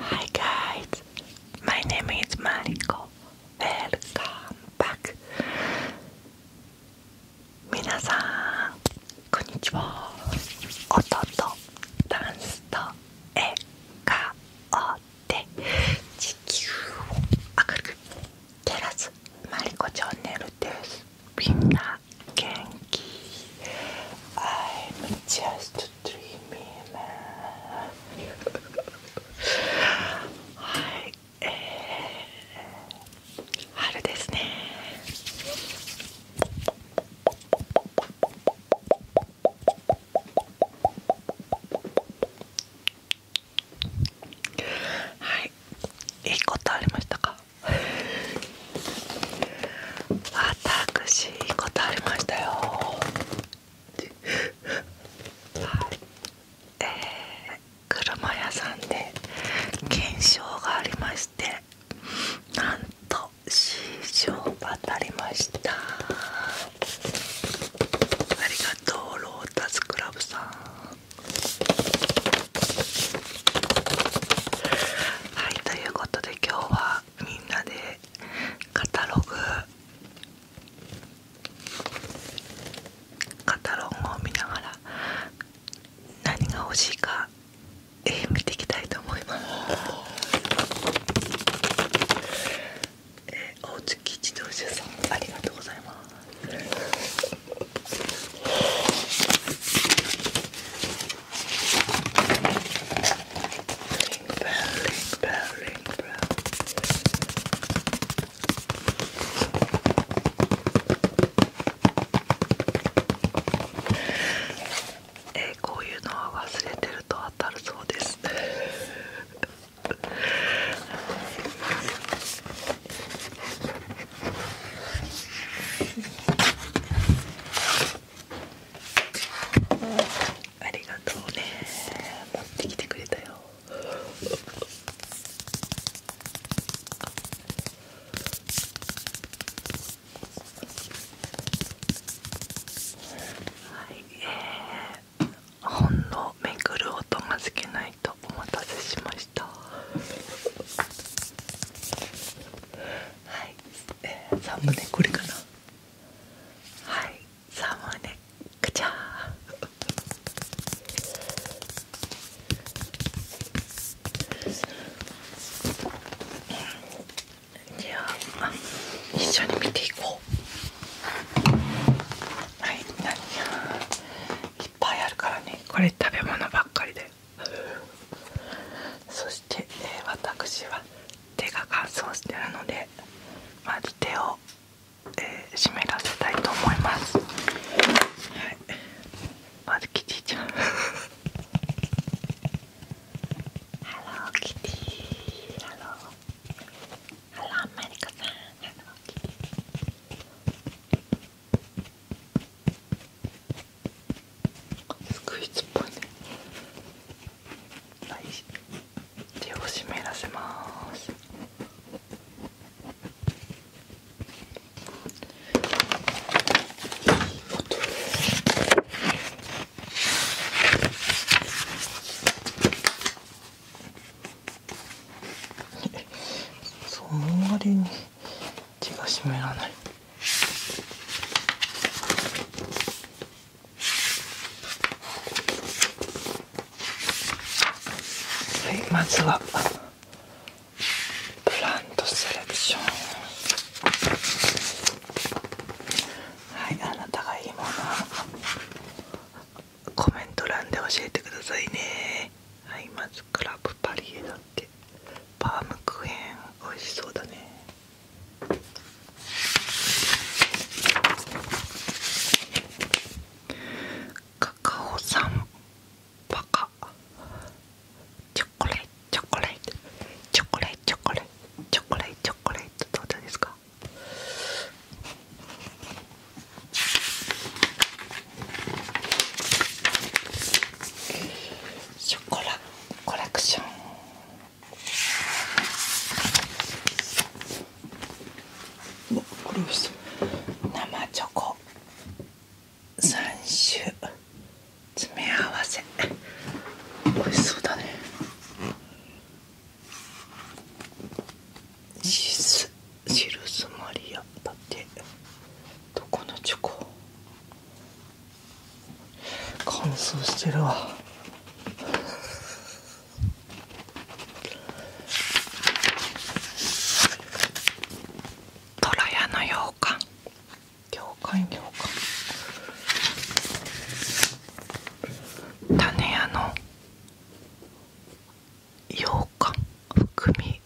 Hi guys, my さんこんにちは。音とダンスと笑顔で地球を明るく照らすマリコチャンネルです。みんな Genki. I'm just dreaming. Hi. えー、春ですねはいいいことありましたか私答えましたよはいえ車屋さんで検証がありましてなんと C 賞が当りましたありがとうロータスクラブさんはいということで今日はみんなでカタログカタログを見ながら何が欲しいか、えー、見ていきたいと思います。えー、大月自動車さんありがとうございますえこういうのは忘れてると当たるそうです。ありがとうね持ってきてくれたよはいえーほんのめぐる音が好けないとお待たせしましたはい、えー、3もねこれかなはい3もねくちゃーじゃあ一緒に見ていこうはい何やいっぱいあるからねこれ食べ物ばっかりでそして、私は手が乾燥してるのでまず手を、湿らせたいと思います、まずキティちゃんハローキティハローハローマリコさんスクイズっぽいねはい手を湿らせますいい その割に。手が湿らないはいまずはブランドセレクションはいあなたがいいものコメント欄で教えてくださいねはいまずクラブパリエだって。バームクーヘン美味しそうだねカカオさんバカチョコレートチョコレートチョコレートチョコレートチョコレートチョコレートどうですかショコラコレクション生チョコ3種詰め合わせ美味しそうだねシスシルスマリアだってどこのチョコ乾燥してるわトラヤの羊羹羊羹羊羹種屋の羊羹含み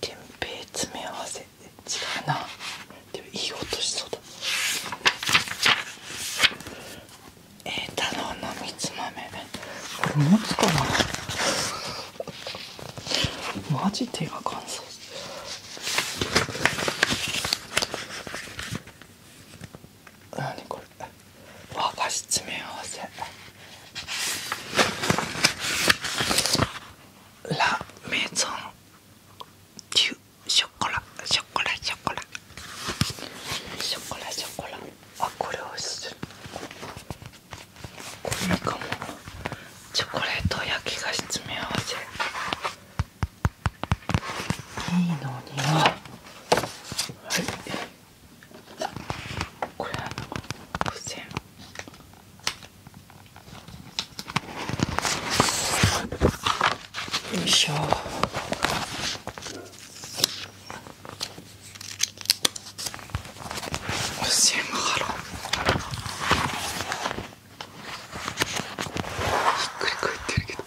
天平詰め合わせ違うなでもいい音しそうだえー、太郎のみつ豆これ持つかなマジ手が乾燥何これ和菓子詰め合わせラメゾンデュショコラショコラショコラショコラショコラあこれおしいこれかもチョコレート焼き菓子詰め合わせいいのにははいこれは付箋よいしょ付箋が貼ろうひっくり返ってるけど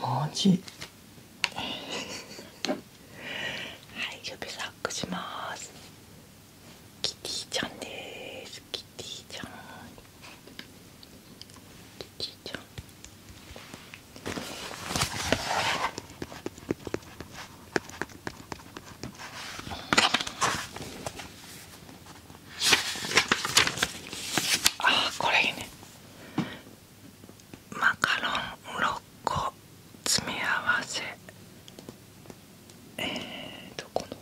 マジ はい指サックしますキティちゃんですキティちゃんキティちゃんあーこれいいねマカロン6個詰め合わせえーどこの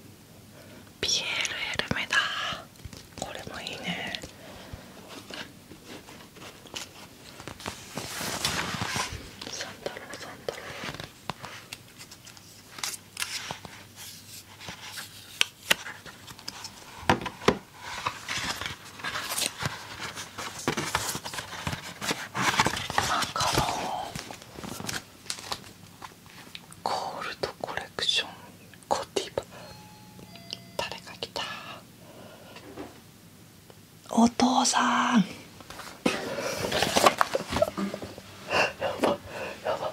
ピエール・エルメだこれもいいねサン三太郎三太郎なんかのゴールドコレクション誰か来たお父さんやばやば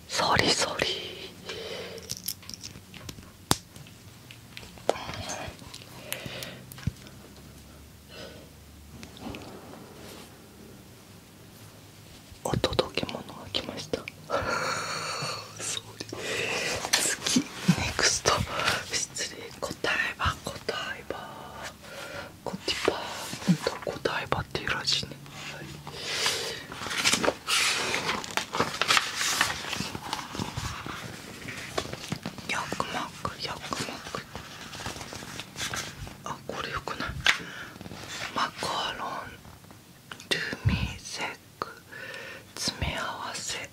そりそりお届け物が来ましたそり 次ネクスト失礼答えは答えは答えばっていうらしいねヤクマックヤクマックあこれよくないマカロンルミセク詰め合わせ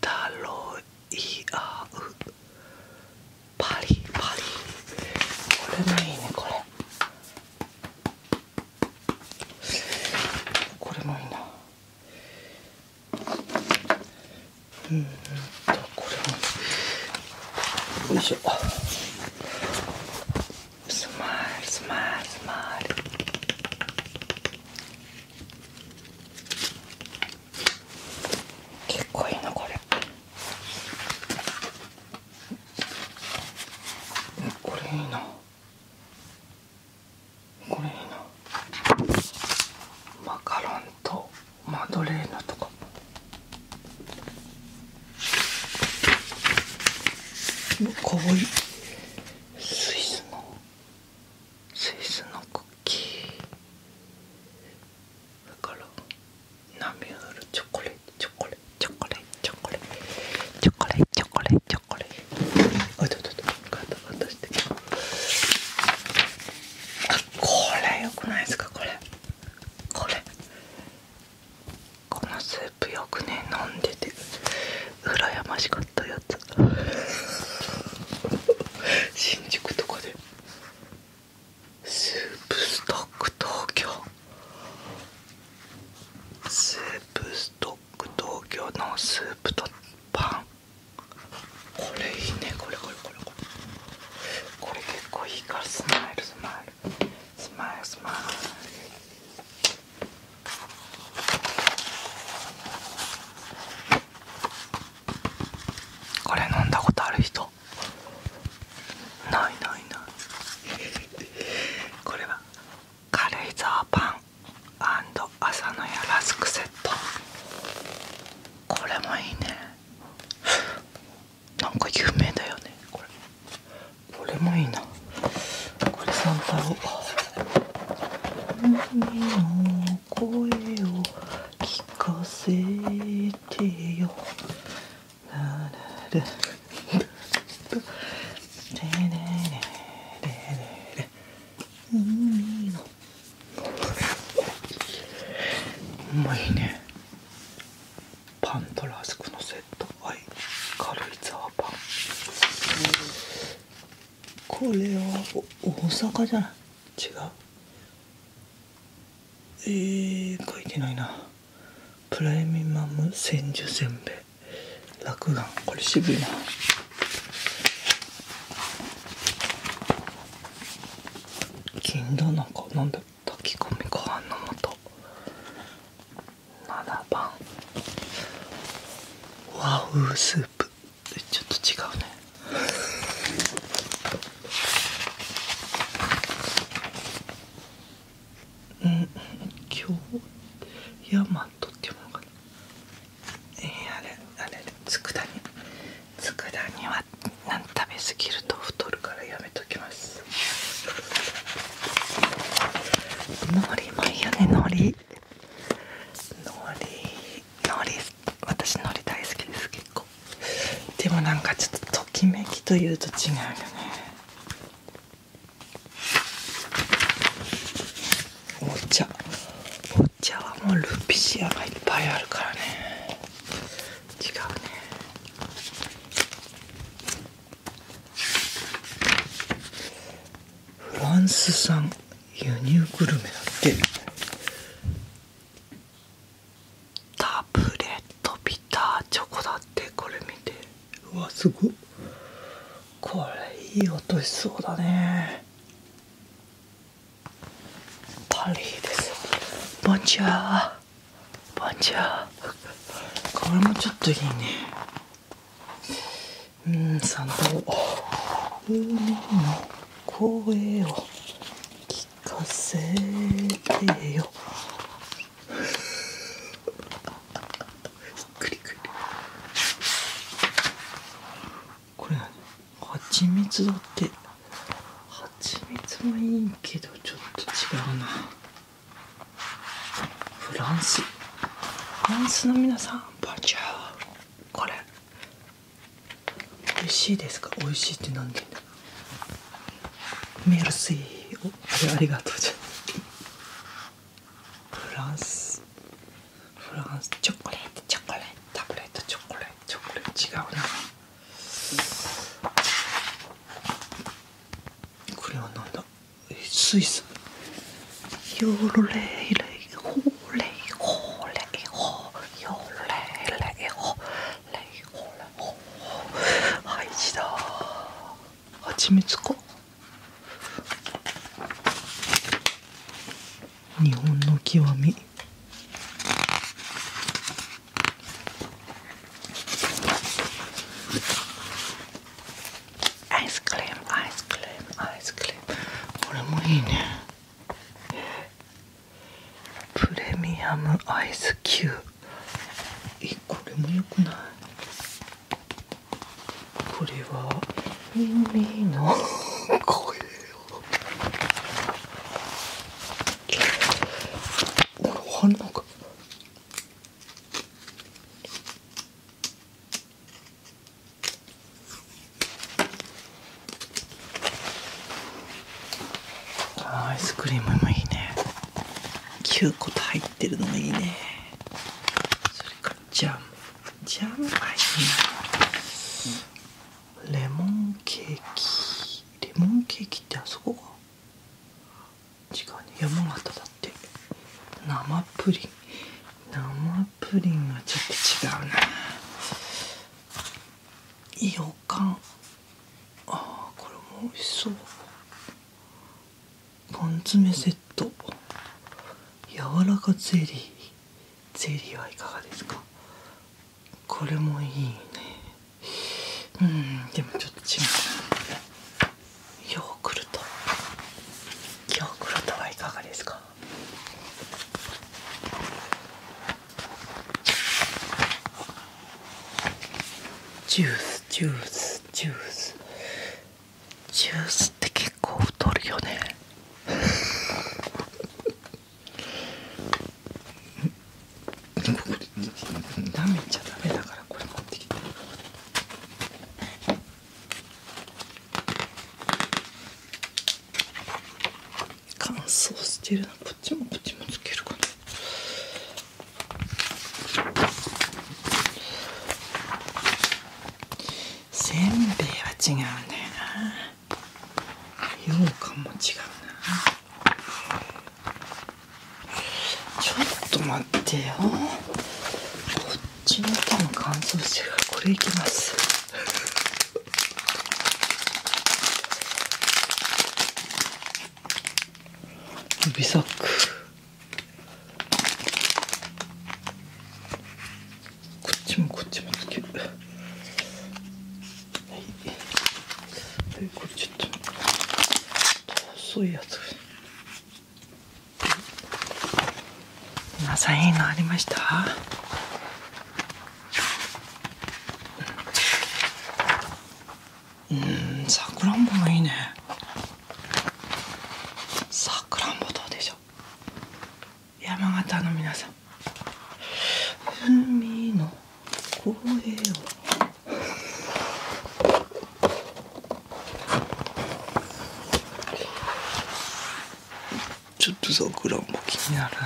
タロイアウパリパリこれもいいねこれこれもいいなうんとこれもよいしょスマイルスマイルスマイル結構いいなこれこれいいなこれいいなマカロンとマドレーナとかかわいいスイスのスイスのクッキーだからナミュールチョコレートチョコレーチョコレチョコレチョコレチョコレチョコレあっと、ちょっとガタガタしてあこれよくないですかこれこれこのスープよくね飲んでて羨ましかったやつ新宿とかでスープストック東京スープストック東京のスープとパンこれいいねこれこれこれこれ結構いいからスマイルスマイルスマイルスマイルこれ飲んだことある人ないないないこれは軽井沢パン朝のやラスクセットこれもいいねなんか有名だよねこれこれもいいなこれサンタを。海の声を聞かせてよ」うん、まいねパンとラスクのセットはい軽いザーパンこれは大阪じゃない違うえー、書いてないなプライミマム千住せんべい落眼これ渋いな金だなんかなんだ炊き込みご飯の素7番和風スープちょっと違うねうん京ヤマトっていうものかなえー、あれあれ佃煮佃煮は何食べ過ぎると太るからやめときますのりもいいよねのりのりのり私のり大好きです結構でもなんかちょっとときめきというと違うよねお茶お茶はもうルピシアがいっぱいあるからね違うねフランス産輸入グルメだってタブレットビターチョコだってこれ見てうわすごっこれいい音しそうだねパリーですボンチュアーボンチュアこれもちょっといいねうんさんと。海の声を聞かせてよくりくりこれ何蜂蜜だって蜂蜜もいいけどちょっと違うなフランスフランスの皆さんバンジャーこれ美味しいですか美味しいって何で言うんだメルシーおあれありがとうじゃフランスフランスチョコレートチョコレートタブレットチョコレートチョコレート違うなこれはなんだスイスヨーレイレイホーレイホーレイホーヨーレイレイホーレイほらほらハイジだはちみつか日本の極みアイスクリームアイスクリームアイスクリームこれもいいねプレミアムアイスキューえこれもよくないこれは耳の声をなんか反応が。アイスクリームもいいね。9個と入ってるのがいいねそれからジャムジャム入いいなレモンケーキレモンケーキってあそこか違うね山形だって生プリン生プリンはちょっと違うなよかんあーこれも美味しそうパ缶詰セット柔らかゼリーゼリーはいかがですかこれもいいねうんでもちょっと違うヨーグルトヨーグルトはいかがですかジュースジュースジュースジュースって結構太るよねなめちゃダメだからこれ持ってきて乾燥してるなこっちもこっちもつけるかなせんべいは違うんだよな羊羹も違うなちょっと待ってよこっちの手も乾燥してるからこれいきます指サックこっちもこっちもつけるはいこっちょっと細いやつ皆さんいのありましたうんさくらんぼもいいねさくらんぼどうでしょう山形の皆さん海の声をちょっとさくらんぼ気になるな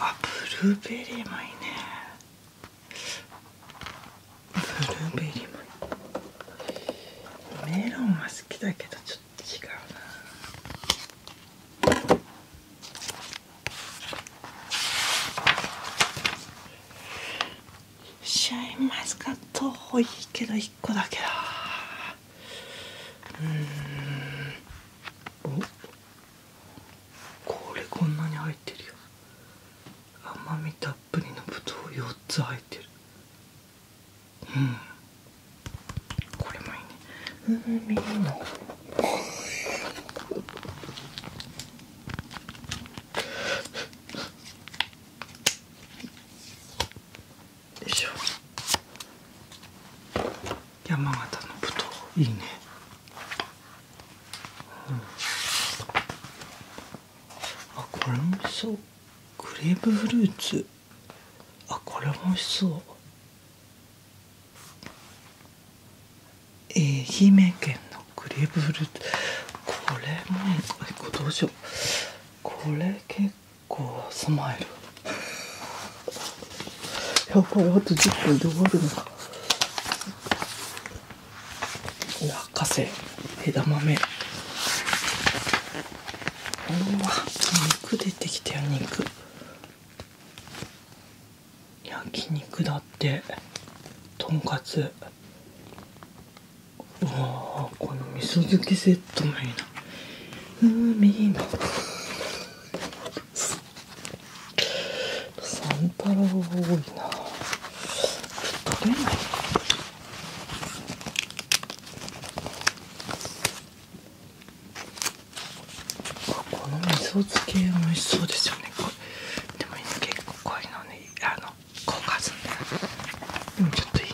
あブルーベリーもいいねブルーベリーもメロンは好きだけどちょっと違うなシャインマスカット多いけど1個だけだうんおこれこんなに入ってるよ甘みたっぷりのぶどう4つ入ってるうんこれもいいね海の山形のぶどういいねうん。あこれも美味しそうクリーブフルーツあこれも美味しそう愛媛県のクリーブフルーツこれもこどうしようこれ結構スマイルやっぱりあと10分で終わるのか落花生枝豆うわ肉出てきたよ肉焼肉だってとんかつうわこの味噌漬けセットもいいなうんいいなサンタロウが多いな取れないこの味噌漬け美味しそうですよねでも結構濃いのに、あの効果すんだよでもちょっといい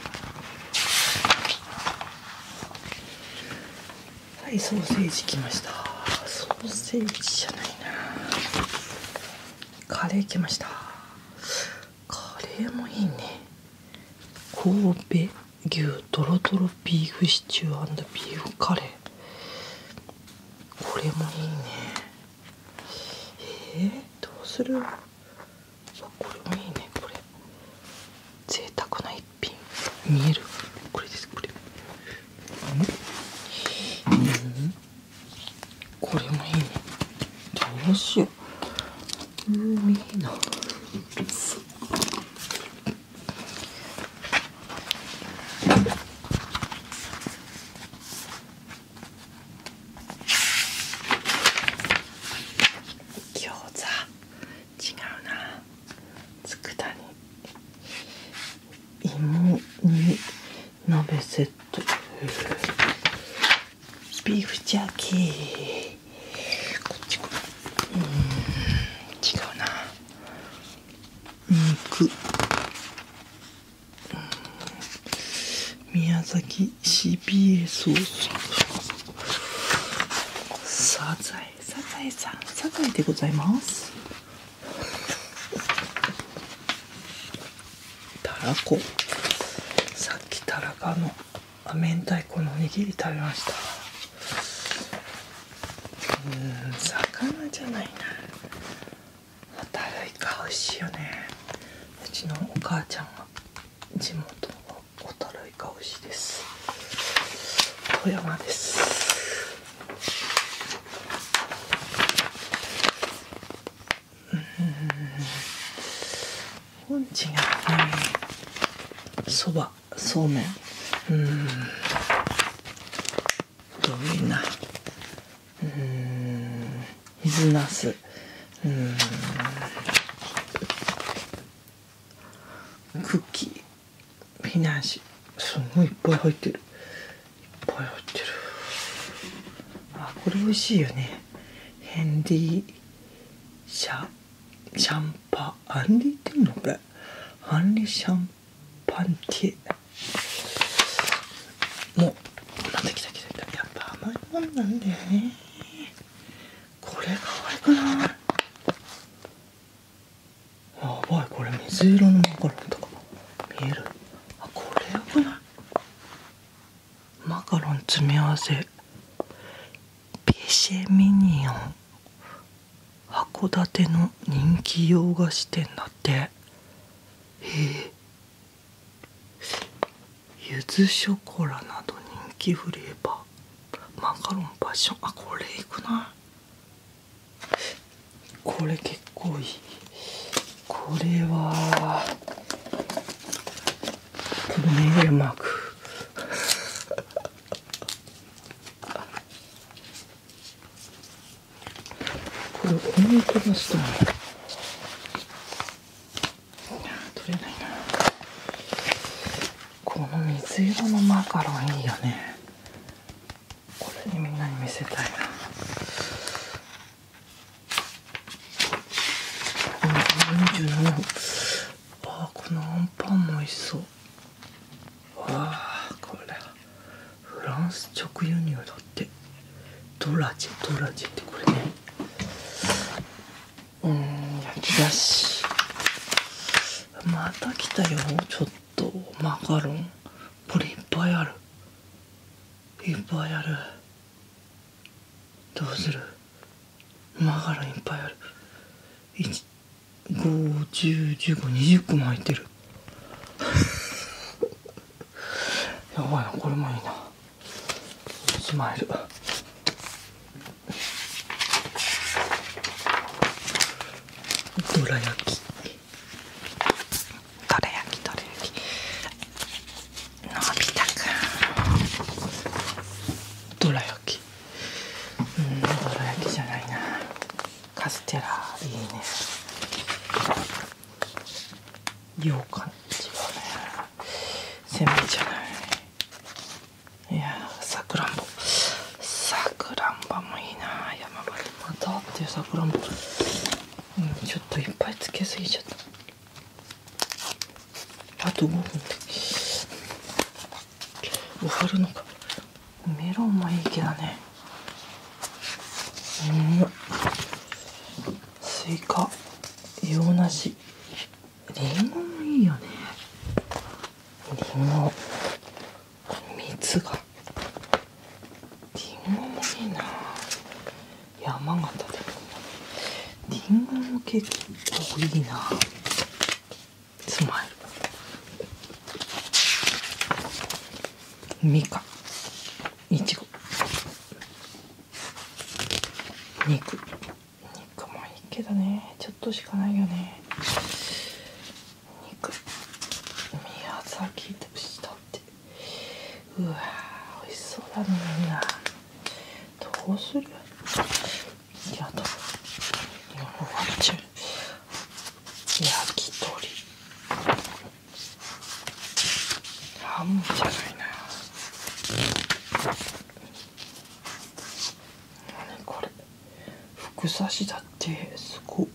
はいソーセージきましたソーセージじゃないなカレーきましたカレーもいいね神戸牛とろとろビーフシチュービーフカレーこれもいいねえー、どうするこれもいいねこれ贅沢な一見えるこれですこれ、これもいいねどうしよううん餃子違うな佃煮芋煮鍋セットビーフジャーキーこっちかうん違うな肉宮崎シびれソースサザエサザエさんサザエでございますたらこさっきたらかの明太子のおにぎり食べましたうん魚じゃないなホタルイカ美味しいよねうちのお母ちゃんは。地元のホタルイカ美味しいです富山ですうん違うそばそうめんうんどういうなうん水なすうんクッキーフィナンシすごいいっぱい入ってるいっぱい入ってるあこれ美味しいよねヘンリー。シャシャンパアンディってんのこれアンリシャンパンティもうまた来た来た来たやっぱ甘いもんなんだよねこれ可愛くないやばいこれ水色のマカロンとか見えるあこれよくないマカロン詰め合わせピシェミニオン函館の人気洋菓子店だってへえゆずショコラなど人気フレーバーマカロンパッションあこれいくないこれ結構いいこれはこれメガネマーこれ思い出ました取れないなこの水色のマカロンいいよねこれにみんなに見せたいなあこのアンパンも美味しそうわあこれフランス直輸入だってドラジドラジってこれねうん焼き菓子また来たよちょっとマカロンこれいっぱいあるいっぱいあるどうするマカロンいっぱいある5101520個も入ってる やばいなこれもいいなスマイルどら焼きどら焼きどら焼きのび太くんどら焼きうんどら焼きじゃないなカステラいいね羊羹違うねせんべいじゃないいやさくらんぼさくらんぼもいいな山までうんちょっといっぱいつけすぎちゃったあと5分で終わるのかメロンもいいけどねうんスイカ洋梨りんごもいいよねりんご蜜がりんごもいいな山形でりんごも結構いいなスマイルみかいちご肉肉もいいけどねちょっとしかないよねうわ美味しそうだねみんなどうする焼き鳥ハムじゃないな何これ副差しだってすごっ、うん、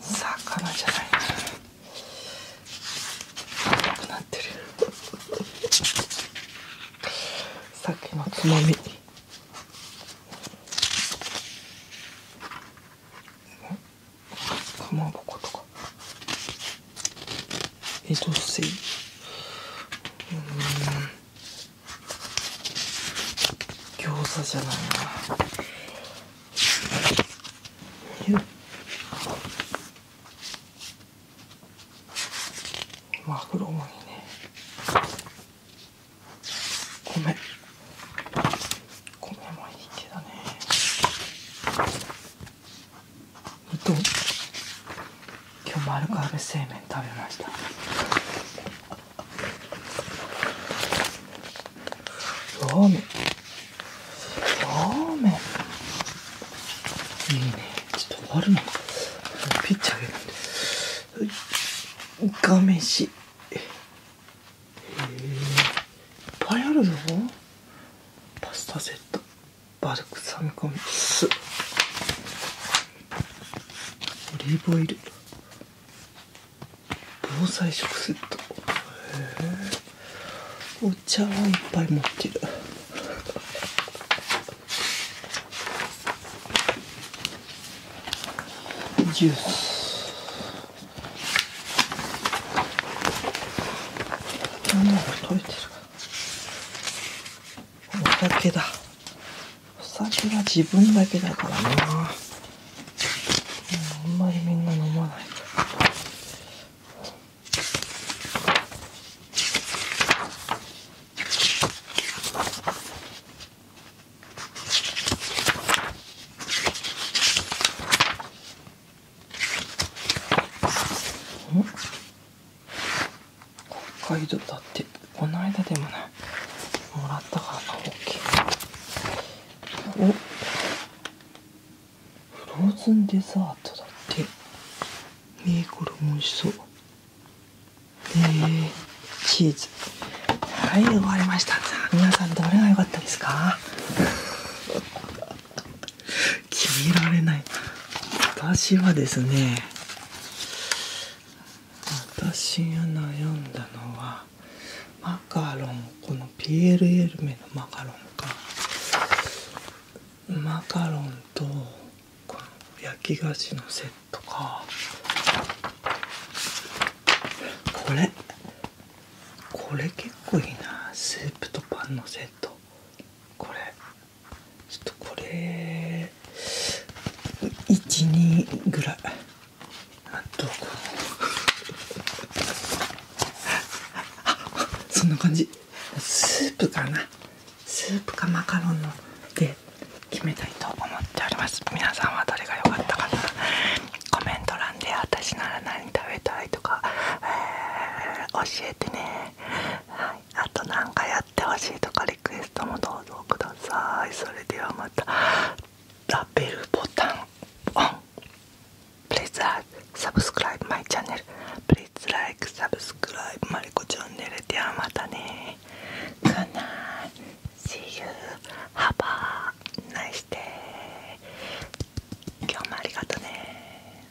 魚じゃないな赤くなってるさっきのつまみかまぼことかえっというん餃子じゃないなよっマグロもいいね米米もいい手だねと今日もアル製麺食べましたそうめんそうめんいいねちょっと終るのピッチ上げる画面しへえいっぱいあぞパスタセットバルクサミコミオリーブオイル防災食セットお茶はいっぱい持ってるジュース何だろう食べてるお酒だお酒は自分だけだからなあんまりみんな飲まないん。北海道だってこの間でもねもらったからな大きいおフローズンデザートだってねえコれも美味しそうえチーズはい終わりました皆さんどれが良かったですか決められない私はですね私が悩んだのはマカロンこのピエールエルメのマカロンかマカロンとこの焼き菓子のセットかこれこれ結構いいなスープとパンのセットこれちょっとこれ12ぐらいあとこうそんな感じスープかなスープかマカロンので決めたいと思っております皆さんはどれが良かったかなコメント欄で私なら何食べたいとか、え教えてねはいあと何かやってほしいとかリクエストもどうぞくださいそれではまたラベルボタンオン Please like, subscribe my channel Please like, subscribe マリコチャンネルではまたね Good night See you Have a nice day 今日もありがとね